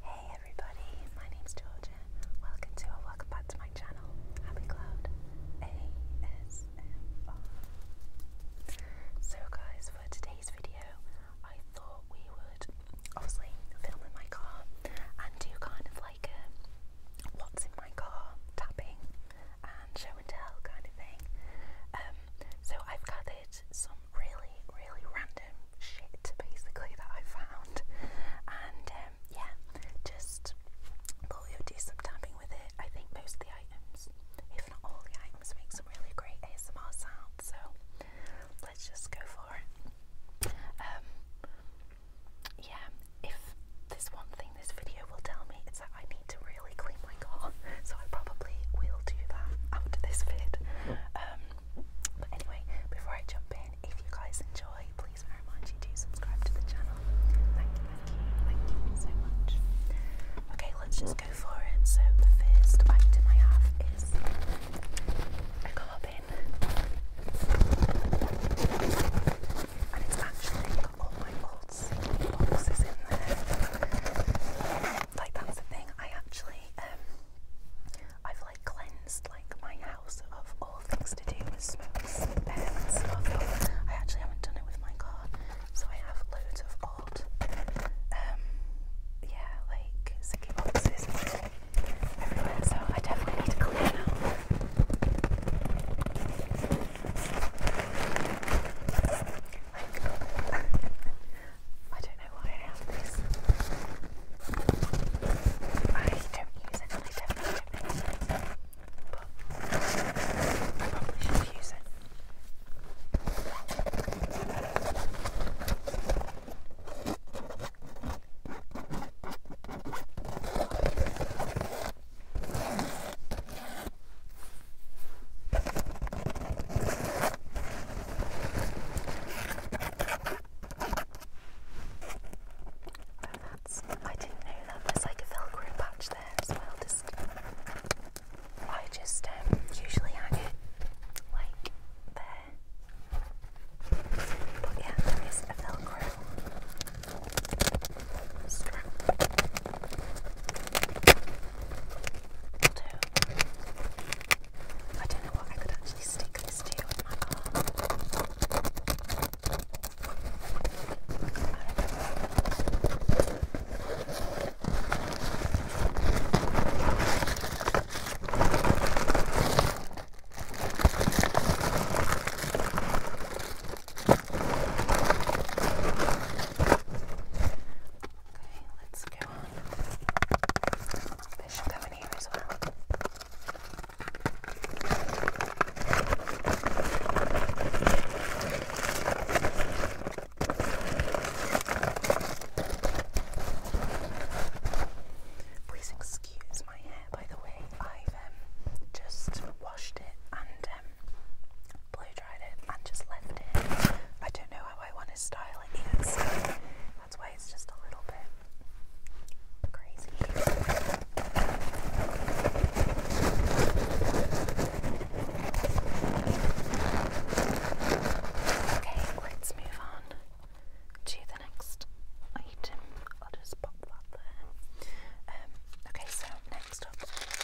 Hey everybody, my name's Georgia. Welcome to or welcome back to my channel, Happy Cloud ASMR. So guys, for today's video, I thought we would obviously film in my car and do kind of like a what's in my car tapping and show and tell kind of thing. Um, so I've got this some really, really random shit basically that I found, and um, yeah, just thought we would do with it. I think most of the items, if not all the items, make some really great ASMR sounds, so let's just go for it. Um, yeah, if there's one thing this video will tell me, it's that I need to really clean my car, so I probably will do that after this vid. Oh. Um, but anyway, before I jump in, if you guys enjoy, please very you do subscribe to the channel. Thank you, thank you, thank you so much. Okay, let's just go for it. So the first item I have is a car And it's actually got all my old CD boxes in there. Like that's the thing. I actually um I've like cleansed like my house of all things to do with smokes I actually haven't done it with my car, so I have loads of old, um, yeah, like sticky boxes everywhere. So I definitely need to clean out. I don't know why I have this. I don't use it I definitely don't use it. But I probably should use it. I didn't know that. There's like a velcro patch there as well. Just, I just um, usually hang it like there. But yeah, there is a velcro strap. Although, I don't know what I could actually stick this to with my arm. Okay, let's go This should go in here as well. Please excuse my hair, by the way. I've um, just washed it and um, blow dried it and just left it. I don't know how I want to style it yet, that's why it's just a little bit crazy. Okay, let's move on to the next item. I'll just pop that there. Um, okay, so next up,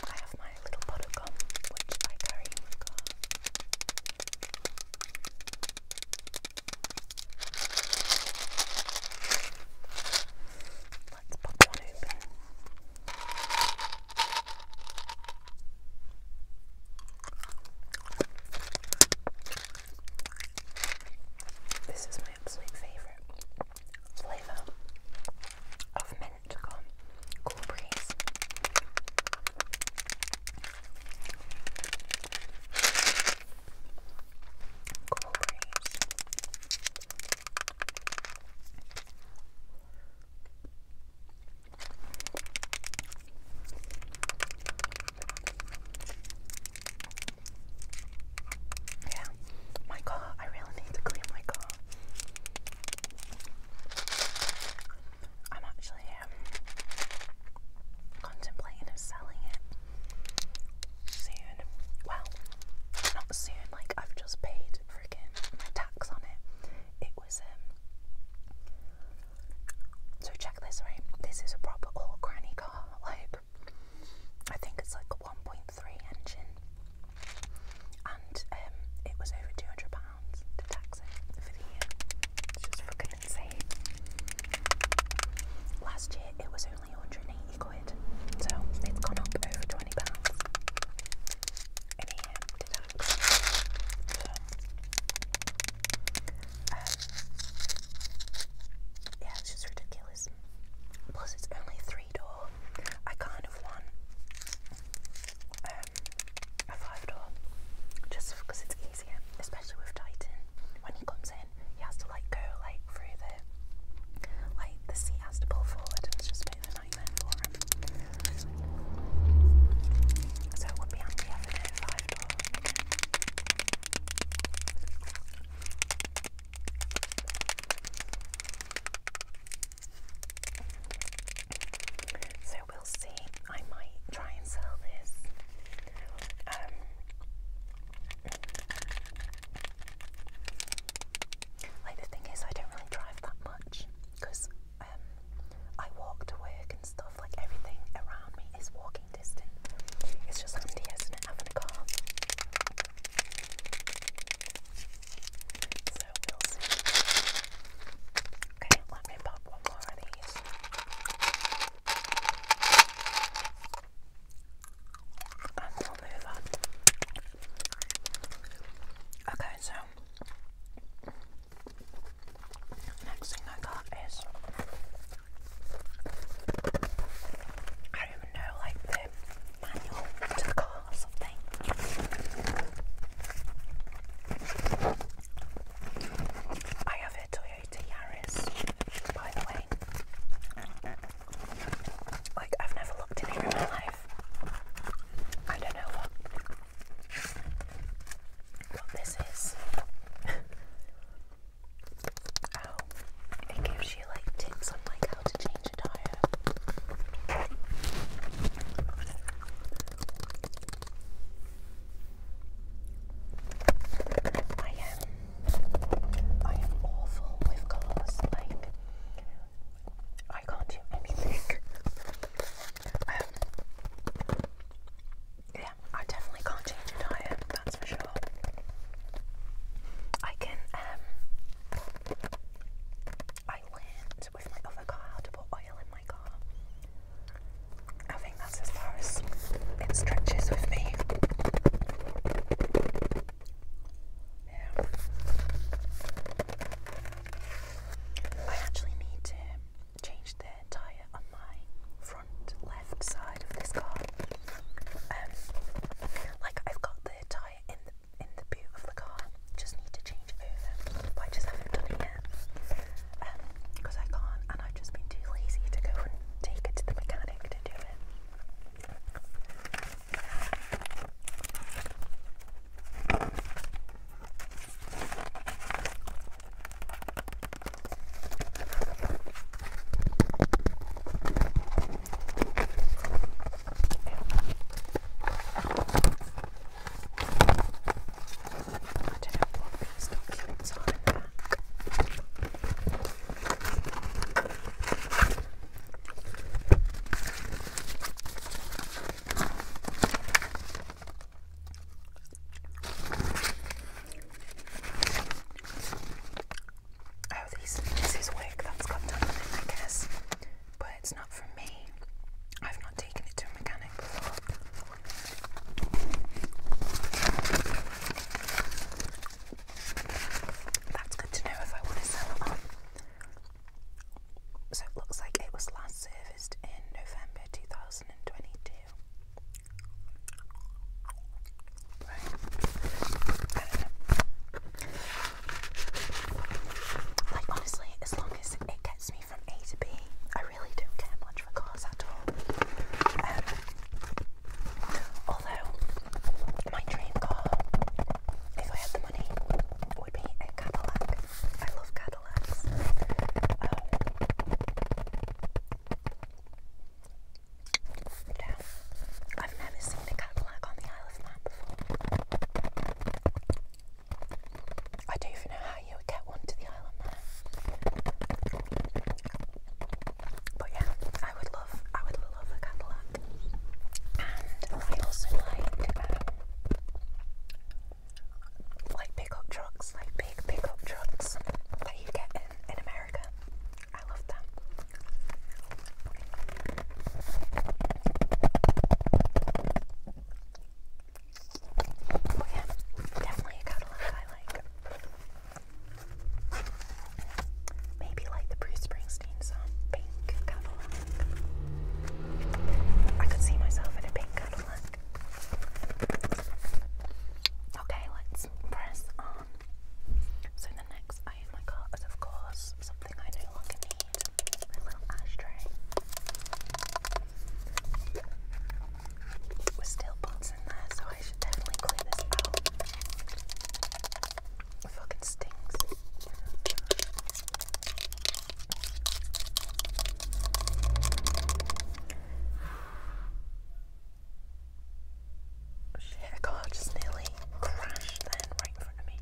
I have my little pot which I carry in my car. Let's pop one open. This is my absolute favourite flavour of mint gone cool breeze. Cool breeze. Yeah, my car. I really need to clean my car. I'm actually contemplating selling it soon. Well, not soon, like I've just paid freaking tax on it. It was um so check this right. This is a proper old granny car, like I think it's like a 1.3 engine, and um, it was over 200 pounds pounds to it for the year. It's just fucking insane. Last year it was only 180 quid, so it's gone up over 20 pounds in a um, yeah, it's just ridiculous. Plus, it's only three door. I kind of want um, um, a five door just because it's easier, especially with Titan. When he comes in, he has to like go like through the like the seat has to pull forward, it's just a bit of a nightmare So it would be handy having a five door. So will see. I might try and sell this. Um, like the thing is, I don't really drive that much because um, I walk to work and stuff. Like everything around me is walking distance. It's just handy, isn't it, having a car? we'll see. Okay, let me pop one more of these. Okay, so next thing I got is I don't even know like the manual to the car or something. I have a Toyota Yaris, by the way. Like, I've never looked in here in my life. I don't know what, what this is. oh, it gives you like tips on like how to change a tire. I am I am awful with colours, like I can't do anything. Um, yeah, I definitely can't change a diet, that's for sure. I can um I learned with my other car, to put oil in my car. I think that's as far as it stretches with me. Yeah. I actually need to change the tyre on my front left side of this car. Um, like I've got the tyre in the in the boot of the car, just need to change over, I just haven't done it yet because um, I can't, and I've just been too lazy to go and take it to the mechanic to do it. I don't know what these documents are in the back. Oh, these, this is wick that's got done in it, I guess but it's not for me. I've not taken it to a mechanic before. That's good to know if I want to sell it on. So it looks like it was last serviced in November 2022. Right. Like honestly, as long as it gets me from A to B. I really don't care much for cars at all. Um, although, my dream car, if I had the money, would be a Cadillac. I love Cadillacs. Um, I've never seen a Cadillac on the Isle of Man before. I don't even know how you would get one to the island there. But yeah, I would love, I would love a Cadillac. And I also like, um, like pickup trucks, like big pickup trucks that you get in, in America. I love them. Oh definitely a catalog I like. Maybe like the Bruce Springsteen song, Pink Catalog. I could see myself in a pink catalog. Okay, let's press on. So the next item I got is of course something I do you all can eat. My little ashtray. With steel bolts in there, so I should definitely clean this out. fucking stinks. Shit, a just nearly crashed then right in front of me.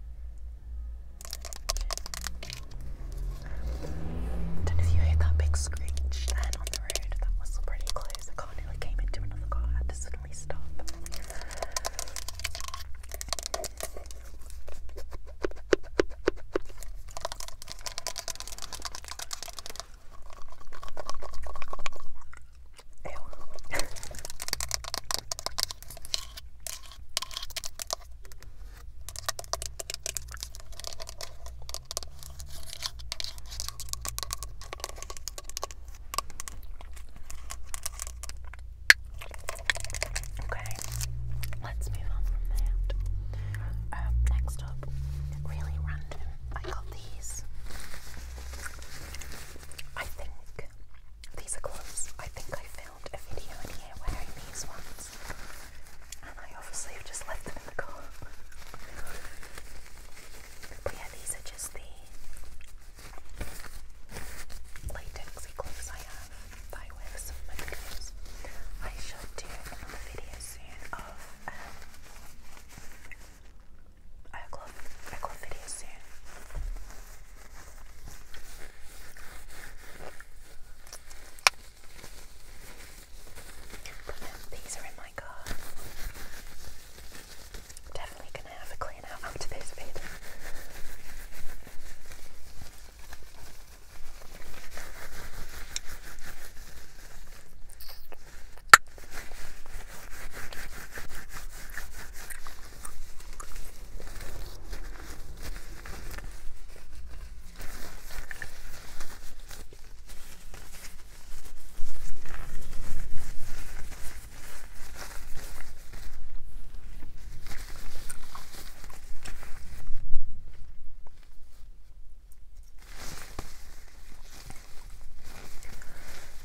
Don't know if you heard that big screech then on the road. That was pretty close. The nearly came into another car. I had to suddenly stop. Okay, let's move on from that. Um, next up, really random. I got these. I think these are gloves. I think I filmed a video in here wearing these ones. And I obviously have just left them in the car. but yeah, these are just the latexy gloves I have I wear some of my videos. I should do another video soon of um, a glove, a glove video soon. But then these are in my car. definitely gonna have a clean out after this bit.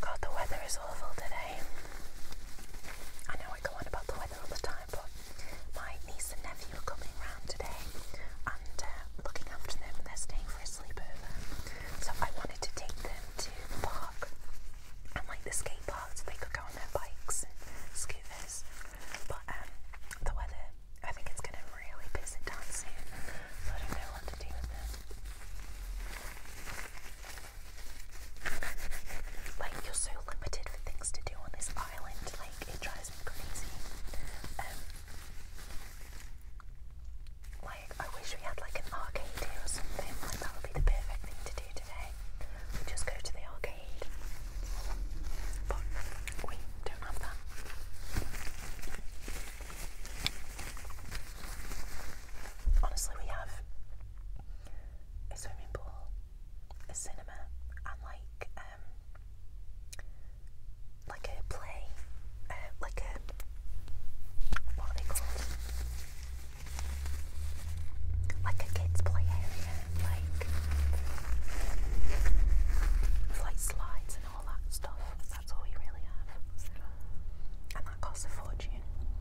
God, the weather is awful today. I know I go on about the weather all the time, but my niece and nephew are coming round today and uh, looking after them, and they're staying for a sleepover. So I wanted to take them to the park and like the skate park so they could go on their bikes and scooters. But um, the weather, I think it's going to really piss it down soon, so I don't know what to do with them. Like, you're so limited for things to do on this island, like, it drives me crazy. Um, like, I wish we had, like, an arcade or something, like, that would be the perfect thing to do today. We just go to the arcade. But we don't have that. Honestly, we have a swimming pool, a cinema and like um like a play, uh, like a what are they called? Like a kids play area, like with like slides and all that stuff. That's all we really have, and that costs a fortune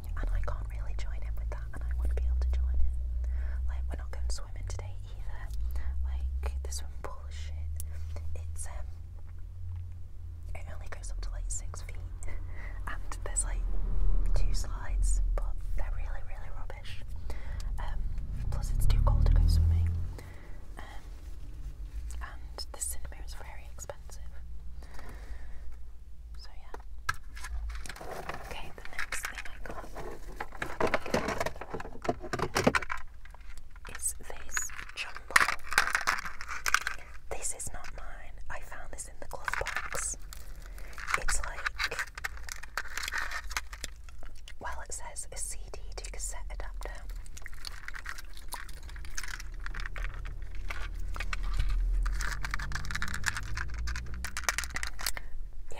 and I can't really join in with that, and I want to be able to join in. Like, we're not going swimming today either. Like, this swimming pool is shit. It's um, it only goes up to like six feet, and there's like two slides, but they're really, really rubbish. Um, plus it's too cold to go swimming, um, and the cinema is very expensive. So yeah. Okay, the next thing I got is this jumbo. This is not mine. I found this in the glove box. It's like well it says a CD to cassette adapter. Yeah,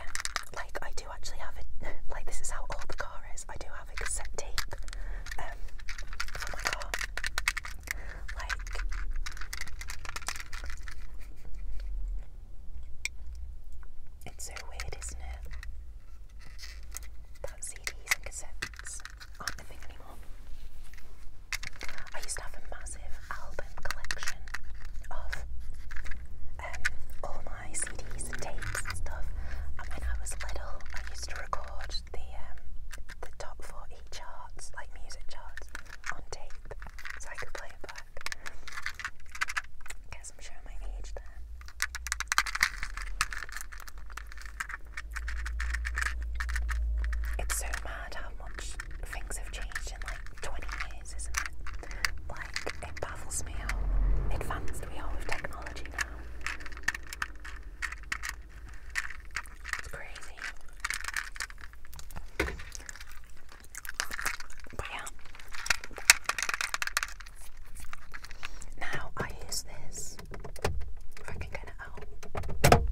like I do actually have it. Like this is how old the car is. I do have a cassette tape um, my car. Like it's so weird, isn't it? That CDs and cassettes aren't a thing anymore. I used to have a massive album collection of um, all my CDs and tapes and stuff. And when I was little, I used to record the um, the top 40 charts, like music charts, on tape, so I could play it back. Guess I'm showing my age there. It's so mad how much things have changed in like 20 years, isn't it? Like, it baffles me how advanced we are with technology now. It's crazy. But yeah. Now I use this I can get it out.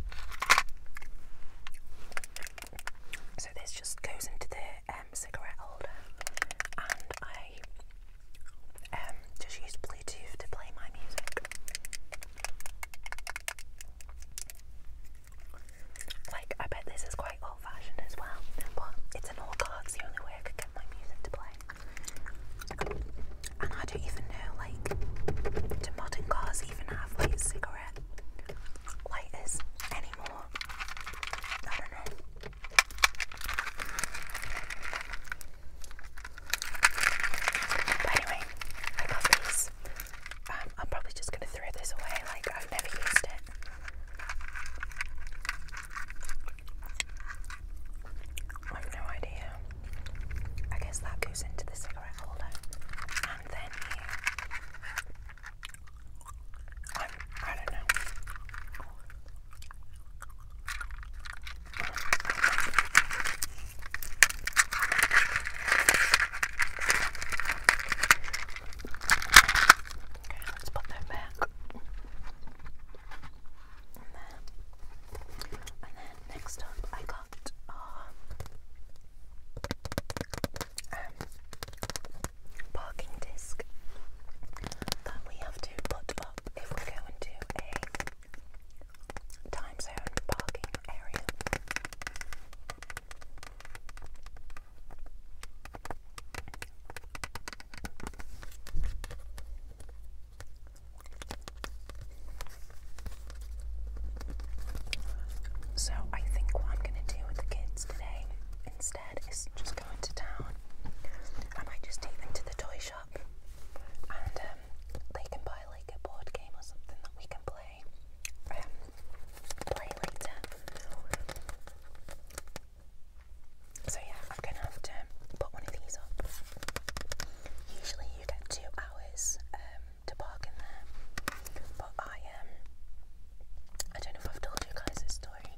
So this just goes into the um, cigarette holder, and I um, just use Bluetooth to play my music. Like, I bet this is quite old fashioned as well, but it's an old car, it's the only way I could get my music to play. And I don't even know, like, do modern cars even have like cigarette cigarette anymore. I But anyway, I got these. I'm probably just gonna throw this away, like I've never used it. I have no idea. I guess that goes into the cigarette holder and you. I'm, Okay, let's put that back. Next up, I got um, um, parking disc that we have to put up if we go into a time zone parking area. So I think what I'm gonna do with the kids today instead is just go into town. I might just take them to the toy shop and um, they can buy like a board game or something that we can play. Um, so yeah, I'm gonna have to put one of these up. Usually you get two hours um, to park in there. But I um I don't know if I've told you guys this story,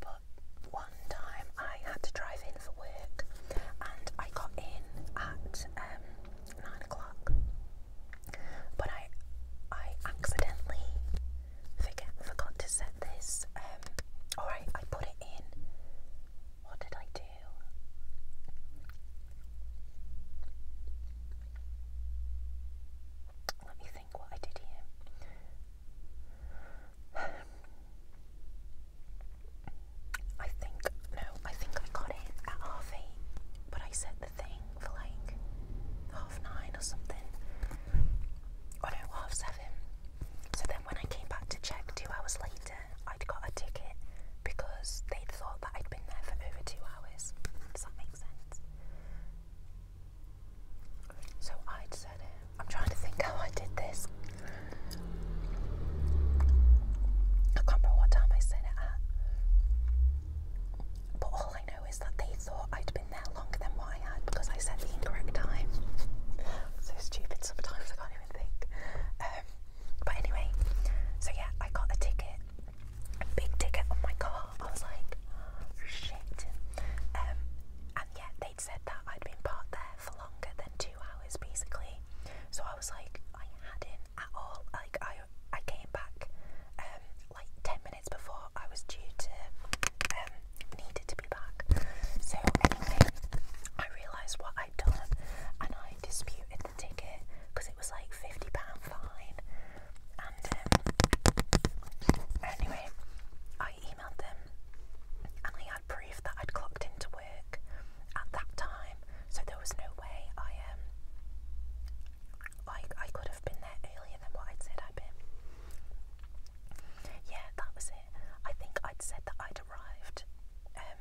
but one time I had to drive in for work and I got in at um, nine o'clock. But I I accidentally forget forgot to set this um, alright I put it in what did I do? Let me think what I did here. I think, no, I think I got it at half eight, but I set the thing for like half nine or something. Or oh, no, half seven. So then when I came back to check two hours later, I'd got a ticket because they'd thought that I'd been there for over two hours. Does that make sense? So I'd said, it. I'm trying to think how I did this. I can't remember what time I said it at. But all I know is that they thought I'd been there longer than what I had because I said the incorrect time. so stupid sometimes, I can't even think. Um, but anyway, so yeah, I got a ticket, a big ticket on oh my car. I was like, shit. Um, and yet they'd said that I'd been parked there for longer than two hours, basically. So I was like, I hadn't at all. Like I, I came back um, like ten minutes before I was due to um, needed to be back. So anyway, I realised what I'd done, and I disputed ticket because it was like £50 fine. And um, anyway, I emailed them and I had proof that I'd clocked into work at that time, so there was no way I um I, I could have been there earlier than what I'd said I'd been. Yeah, that was it. I think I'd said that I'd arrived um,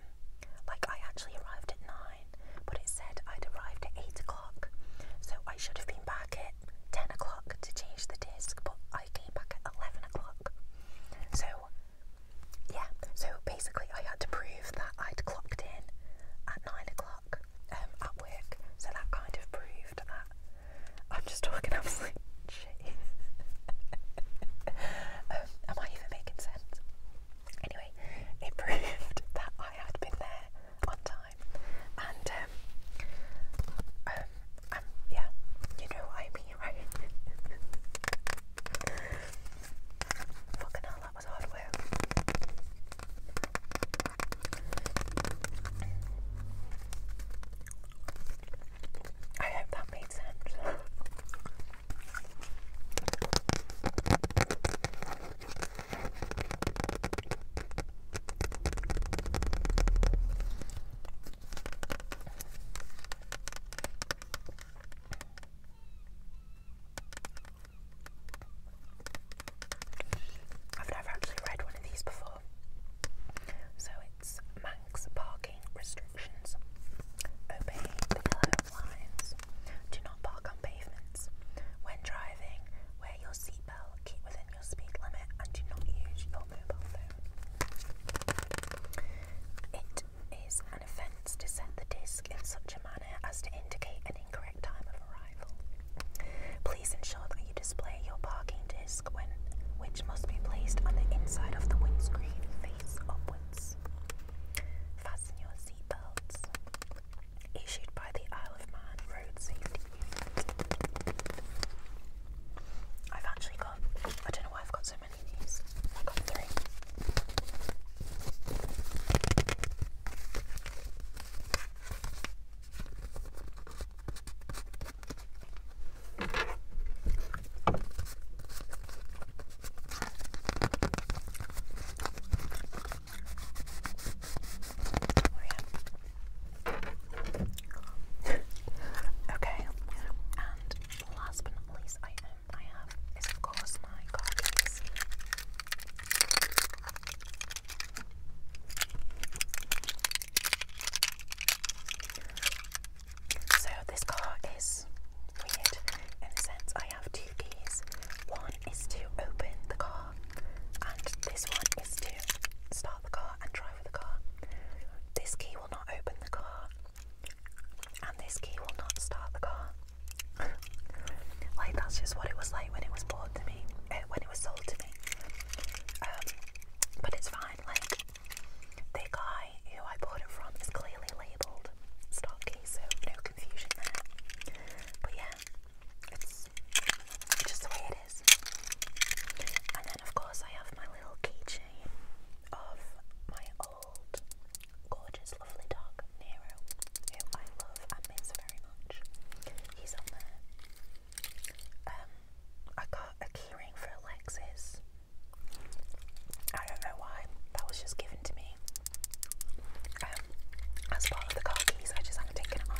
like I actually arrived at nine, but it said I'd arrived at eight o'clock, so I should have been back at ten o'clock to change the disc, but I came back at eleven o'clock. So yeah, so basically I had to prove that I'd clocked in at nine o'clock um, at work, so that kind of proved that. I'm just talking absolute shit. um, am I even making sense? Anyway, it proved that I had been there on time, and um, um, um yeah, you know what I mean, right? Fucking hell, that was hard I hope that made sense. I've never actually read one of these before. So it's Manx parking restrictions. Obey the yellow lines rules. Do not park on pavements. When driving, wear your seatbelt, keep within your speed limit, and do not use your mobile phone. It is an offence to set the disc in such a manner as to indicate an incorrect time of arrival. Please ensure that you display your parking disc which must be placed on the inside of the windscreen face upwards. Fasten your seatbelts. Issued by the Isle of Man Road Safety Unit. I've actually got, I don't know why I've got so many of these. I've got three. Oh, okay, and last but not least item I have is of course my coffees. So this car is weird in the sense I have two keys. One is to open the car, and this one is to start the car and drive with the car. This key will not open the car, and this key will not start the car. like that's just what it was like when it was bought to me, eh, when it was sold to me. Um, but it's fine. Like the guy who I bought it from is clearly labelled old so no confusion there. But yeah, it's just the way it is. And then, of course, I have my little keychain of my old, gorgeous, lovely dog, Nero, who I love and miss very much. He's on there. Um, I got a keyring for Alexis I don't know why. That was just given to me um, as part of the car keys. I just haven't taken it off.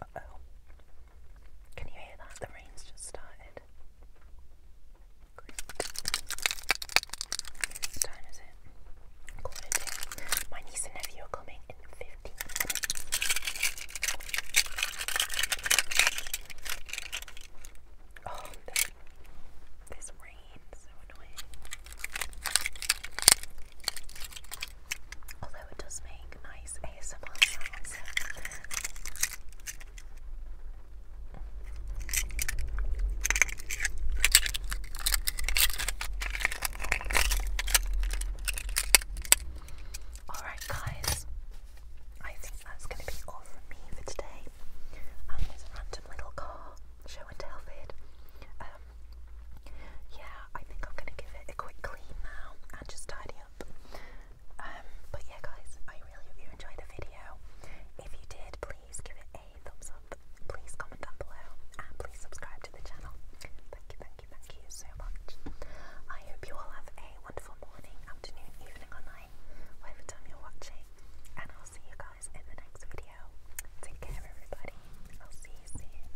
Uh oh. Can you hear that? The rain's just started. What time is it? My niece and nephew are coming in 15 minutes. Oh, this rain is so annoying although it does make nice ASMR sounds. Alright, guys, I think that's going to be all from me for today. And um, this random little car show and tell vid. Um, yeah, I think I'm gonna give it a quick clean now and just tidy up. Um, but yeah, guys, I really hope you enjoyed the video. If you did, please give it a thumbs up. Please comment down below and please subscribe to the channel. Thank you, thank you, thank you so much. I hope you all have a wonderful morning, afternoon, evening, or night, whatever time you're watching. And I'll see you guys in the next video. Take care, everybody. I'll see you soon.